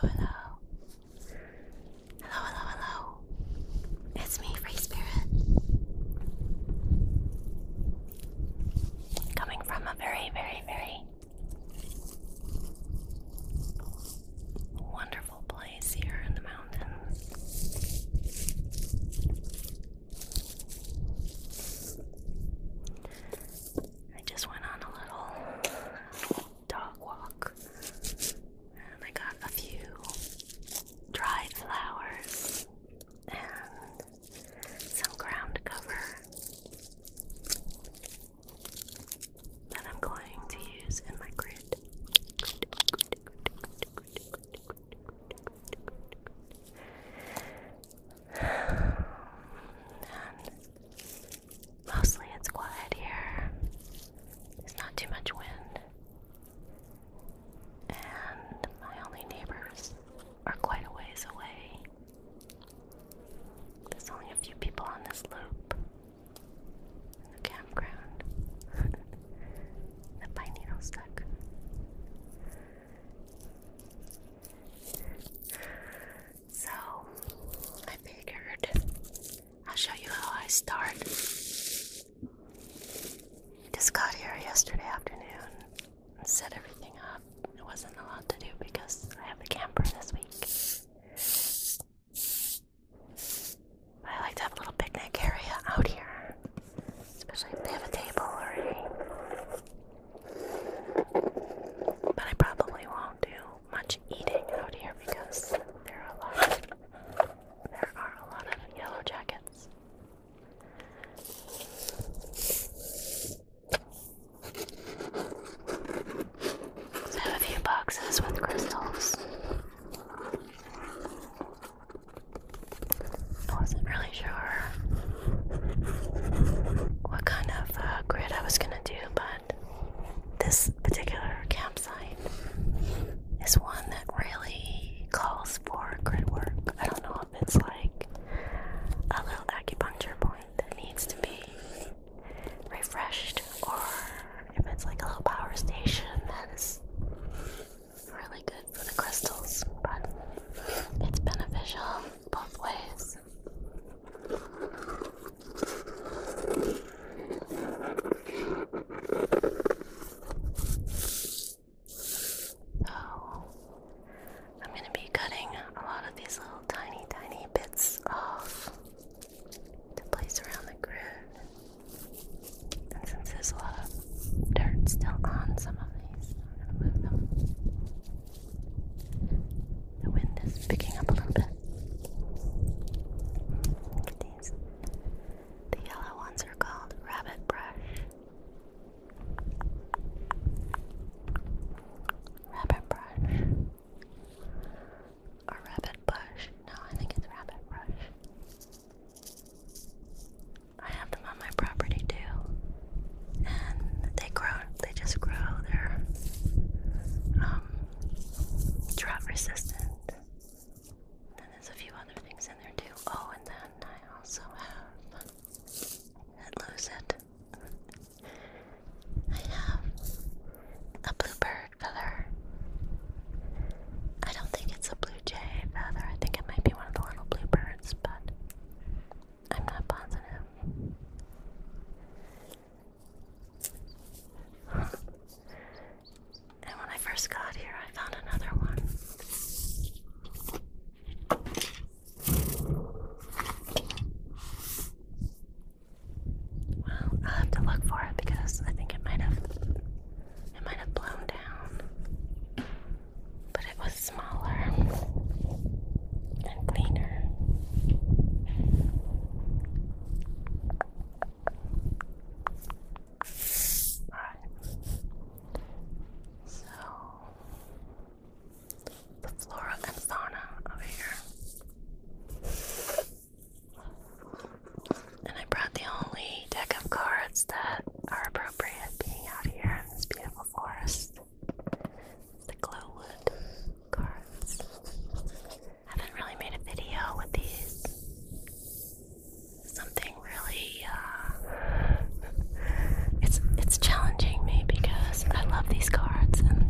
Hello, hello. Hello, hello, hello. It's me, Free Spirit. Coming from a very, very, very Wonderful place here in the mountains. I just went on a little dog walk and I got a few dried flowers and some ground cover that I'm going to use in my grid. mostly it's quiet here. There's not too much wind. And my only neighbors are quite a ways away. There's only a few people on this loop. The campground. the pine needle stuck. So I figured I'll show you how I start. Just got here yesterday afternoon set everything up. It wasn't a lot to do because I have the camper this week. I like to have a little picnic area out here, especially if they have a table already. But I probably won't do much eating out here because there are a lot. There are a lot of yellow jackets. So a few boxes with crystals. I wasn't really sure what kind of uh, grid I was gonna do, but this particular campsite is one that really calls for grid work. I don't know if it's like a little acupuncture point that needs to be refreshed, or if it's like a little power station, that is really good for the crystals, but it's beneficial both ways. So, I'm going to be cutting a lot of these little tiny, tiny bits off to place around the groove. And since there's a lot of dirt still on some of these, I'm going to move them. The wind is picking up a little bit. Look at these. The yellow ones are called rabbit brush. Rabbit brush. A rabbit bush. No, I think it's rabbit brush. I have them on my property too. And they grow, they just grow. They're um, drought resistant. And there's a few other things in there too. Oh, and then I also have. Let I have a bluebird feather. I don't think it's a blue jay feather. I think it might be one of the little bluebirds, but I'm not positive. And when I first got here, I found another one. Well, I'll have to look for it because I think it might have it might have blown down. But it was smaller and cleaner. Alright. So the flora and fauna over here. And I brought the only deck of cards that are appropriate being out here in this beautiful forest. The glowwood cards. haven't really made a video with these. Something really uh, it's it's challenging me because I love these cards and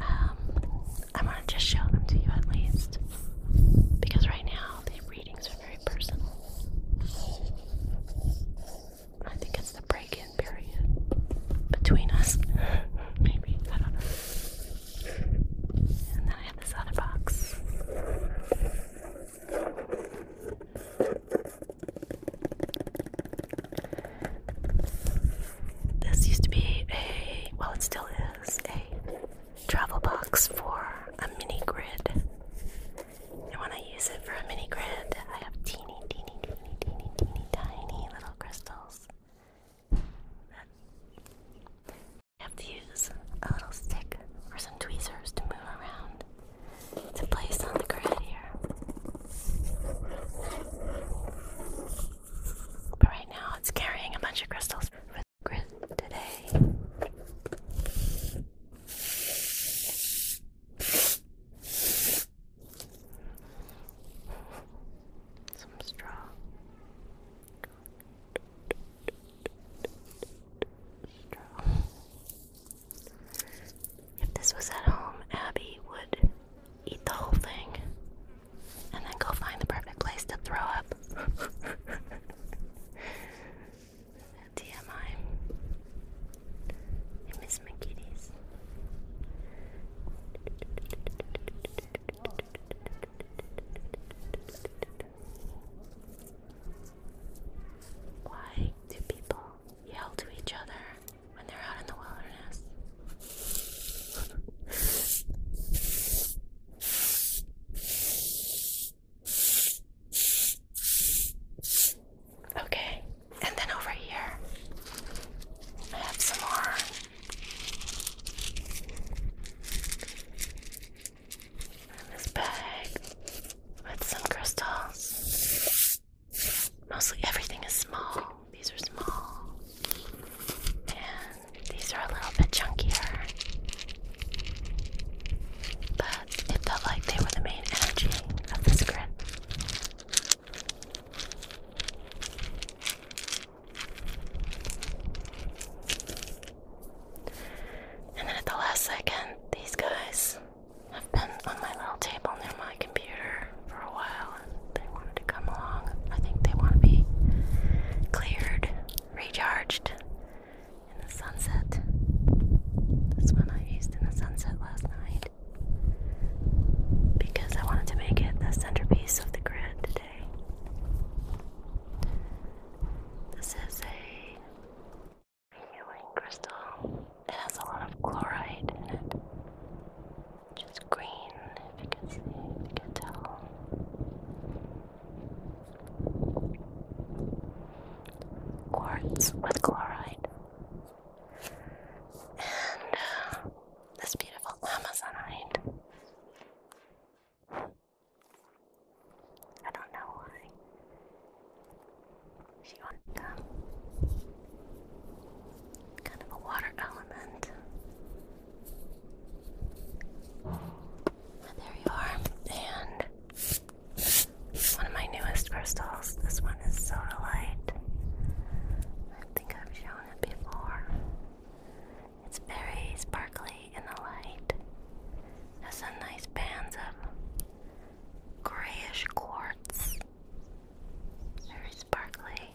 um, I want to just show them to you at least. Because right now, the readings are very personal. I think it's the break in period between us. Maybe. I don't know. And then I have this other box. This used to be a, well, it still is, a travel box for a mini grid. And when I use it for a mini grid, I have teeny, teeny, teeny, teeny, teeny, tiny little crystals I have to use a little stick or some tweezers to move around to place on the grid here. But right now it's carrying a bunch of crystals for the today. Some straw. If this was at home, Abby would eat the whole thing and then go find the perfect place to throw up. TMI. miss my kitties. Why do people yell to each other when they're out in the wilderness. Okay, and then over here, I have some more. this bag with some crystals. Mostly everything is small. These are small. And these are a little bit chunkier. But it felt like they were the main energy of this grip. And then at the last second, these guys have been on my little table near my computer for a while they wanted to come along. I think they want to be cleared, recharged in the sunset. That's one I used in the sunset last night because I wanted to make it the centerpiece of the grid today. This is a healing crystal. It has a lot of chloride in it just green if you can see, if you can tell. Quartz with chloride. And uh, this beautiful Amazonite. I don't know why. She wanted them. Um, kind of a water element. There you are. And one of my newest crystals. This one is Soda Light. I think I've shown it before. It's very sparkly in the light. Has some nice bands of grayish quartz. Very sparkly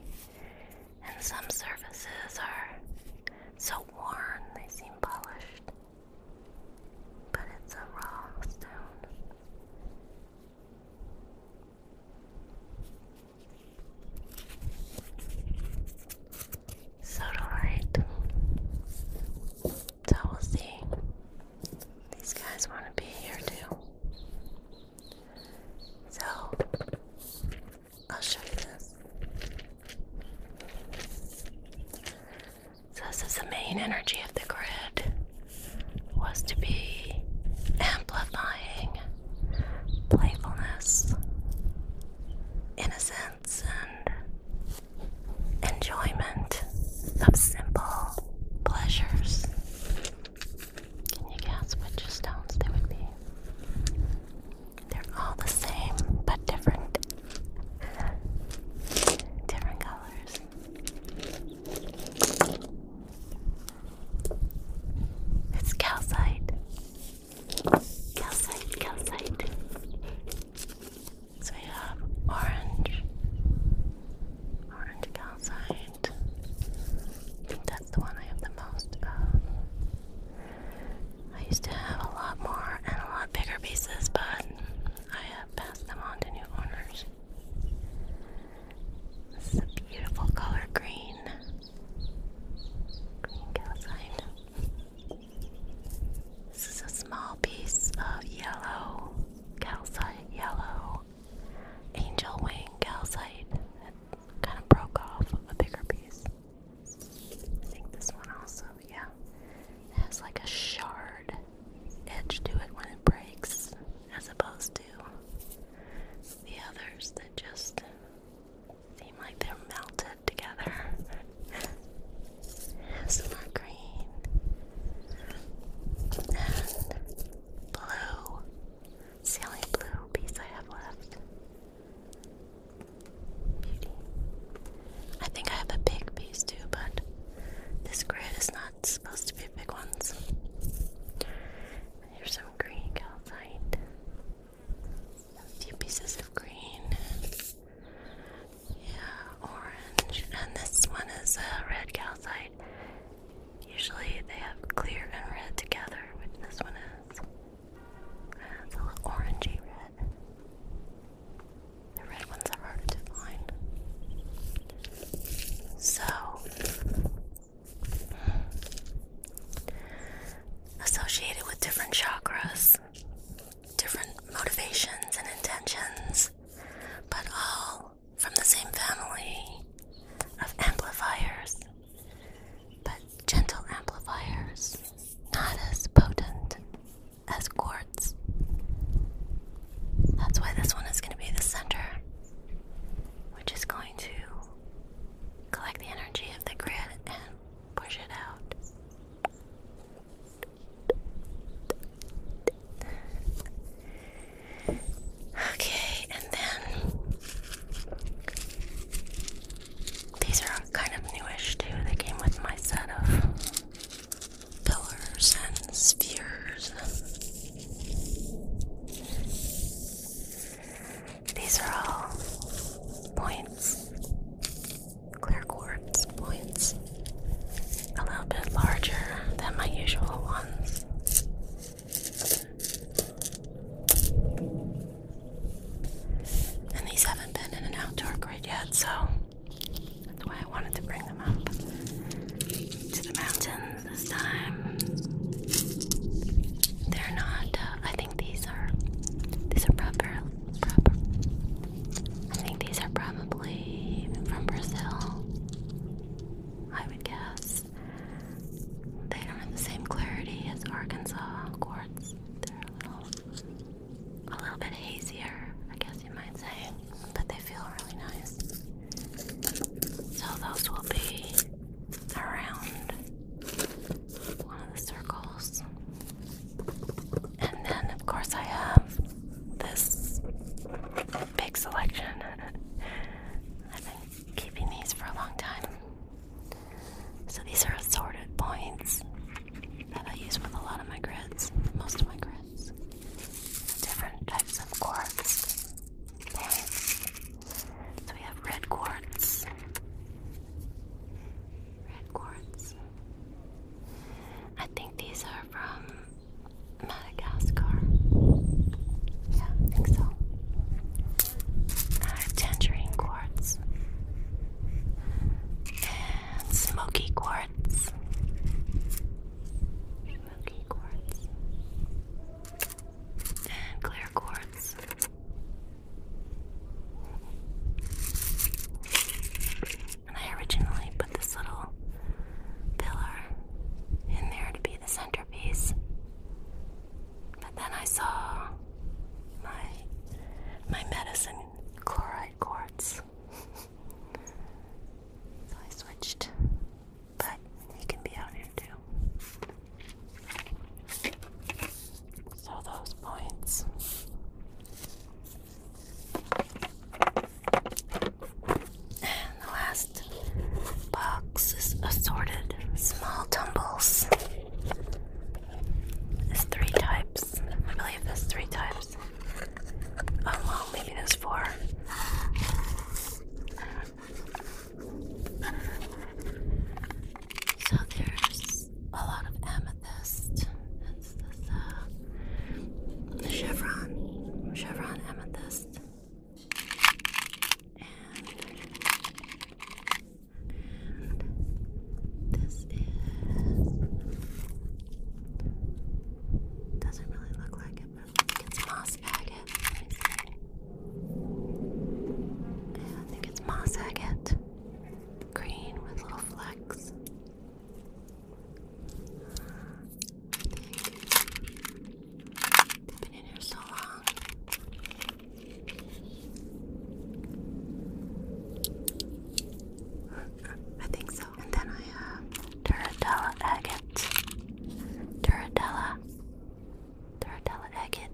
and some surfaces are so worn they seem polished, but it's a raw stone. Sodalite. So we'll see. These guys want to be here too. So I'll show you this. this is the main energy of the grid was to be amplifying playfulness, innocence, and enjoyment of simple pleasures. Can you guess which stones they would be? They're all the same, but different. different colors. It's calcite. Calcite, calcite. So we have orange, orange calcite, that's the one I have the most uh, I used to have a lot more and a lot bigger pieces, but I have passed them on to new owners. This is a beautiful color green. Green calcite. This is a small piece of yellow calcite, yellow angel wing calcite kind of broke off a bigger piece. I think this one also, yeah, has like a shard edge to it when it breaks, as opposed to the others that just seem like they're melted together. Some more green and blue. It's the only blue piece I have left. Beauty. I think I have a big piece too, but this grid is not supposed to be big ones. Here's some green calcite. A few pieces of green. Yeah, orange. And this one is a red calcite. Usually they have clear and red together, which this one it's orangey red. The red ones are harder to find. So, associated with different chakras, different motivations and intentions, but all from the same family of amplifiers but gentle amplifiers, not as potent as quartz. That's why this one is going to be the center, which is going to collect the energy of the grid and push it out. Okay, and then these are kind of newish too. They came with my set of pillars and spheres. These are all points, clear quartz points, a little bit larger than my usual ones. And these haven't been in an outdoor grid yet, so that's why I wanted to bring them up to the mountains this time. They're not. Uh, I think these are. These are proper. Proper. I think these are probably from Brazil. I would guess they don't have the same clarity as Arkansas quartz. They're a little, a little bit hazier, I guess you might say, but they feel really nice. So those will be around one of the circles. And then, of course, I have this big selection. I've been keeping these for a long time. So these are assorted points that I use with a lot of my grids, most of my grids. Different types of quartz points. So we have red quartz. Red quartz. I think these are from Madagascar. Yeah, I think so. Uh, tangerine quartz, and smoky quartz. Smoky quartz. And clear quartz. And I originally put this little pillar in there to be the centerpiece. But then I saw my my medicine chloride quartz. so I switched. But he can be out here too. So those points. And the last box is assorted small tumbles. There's three types. I believe there's three types. Oh well, maybe there's four. So there's a lot of amethyst. That's uh, the chevron, chevron amethyst, and this doesn't really look like it, but it's moss agate. I think it's moss agate. Green with little flecks. I think been in here so long. I think so. And then I have uh, Duratella agate. Duratella. Duratella agate.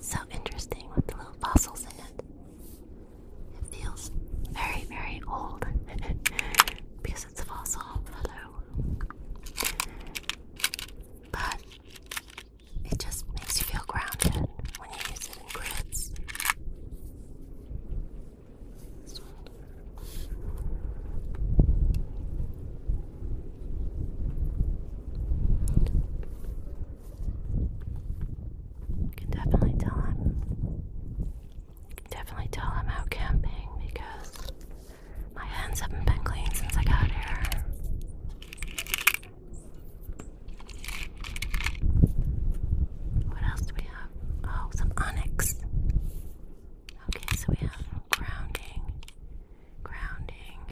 so interesting with the little fossils in it. It feels very, very old because it's a fossil. Hello. But it just makes you feel grounded when you use it in grids. You can definitely tell I'm you can definitely tell I'm out camping because my hands haven't been clean since I got here. What else do we have? Oh, some onyx. Okay, so we have grounding, grounding,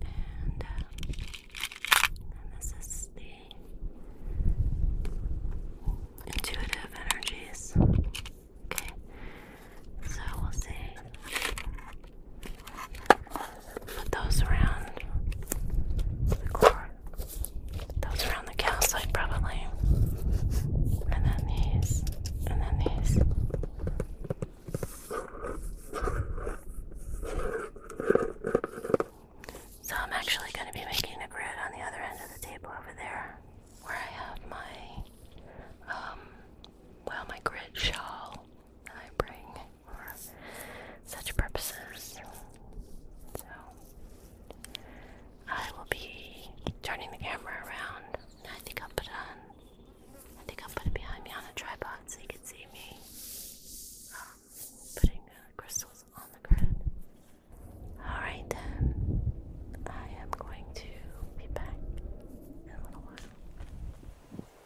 and, uh, this is the intuitive energies. Okay, so we'll see. Put those around the core. Those around the calcite probably. And then these. And then these. So I'm actually going to be making a grid on the other end of the table over there where I have my um well my grid shawl I bring for such purposes. So I will be turning the camera around. I think I'll put it on. I think I'll put it behind me on a tripod so you can see me um, putting the uh, crystals on the grid. All right then, I am going to be back in a little while.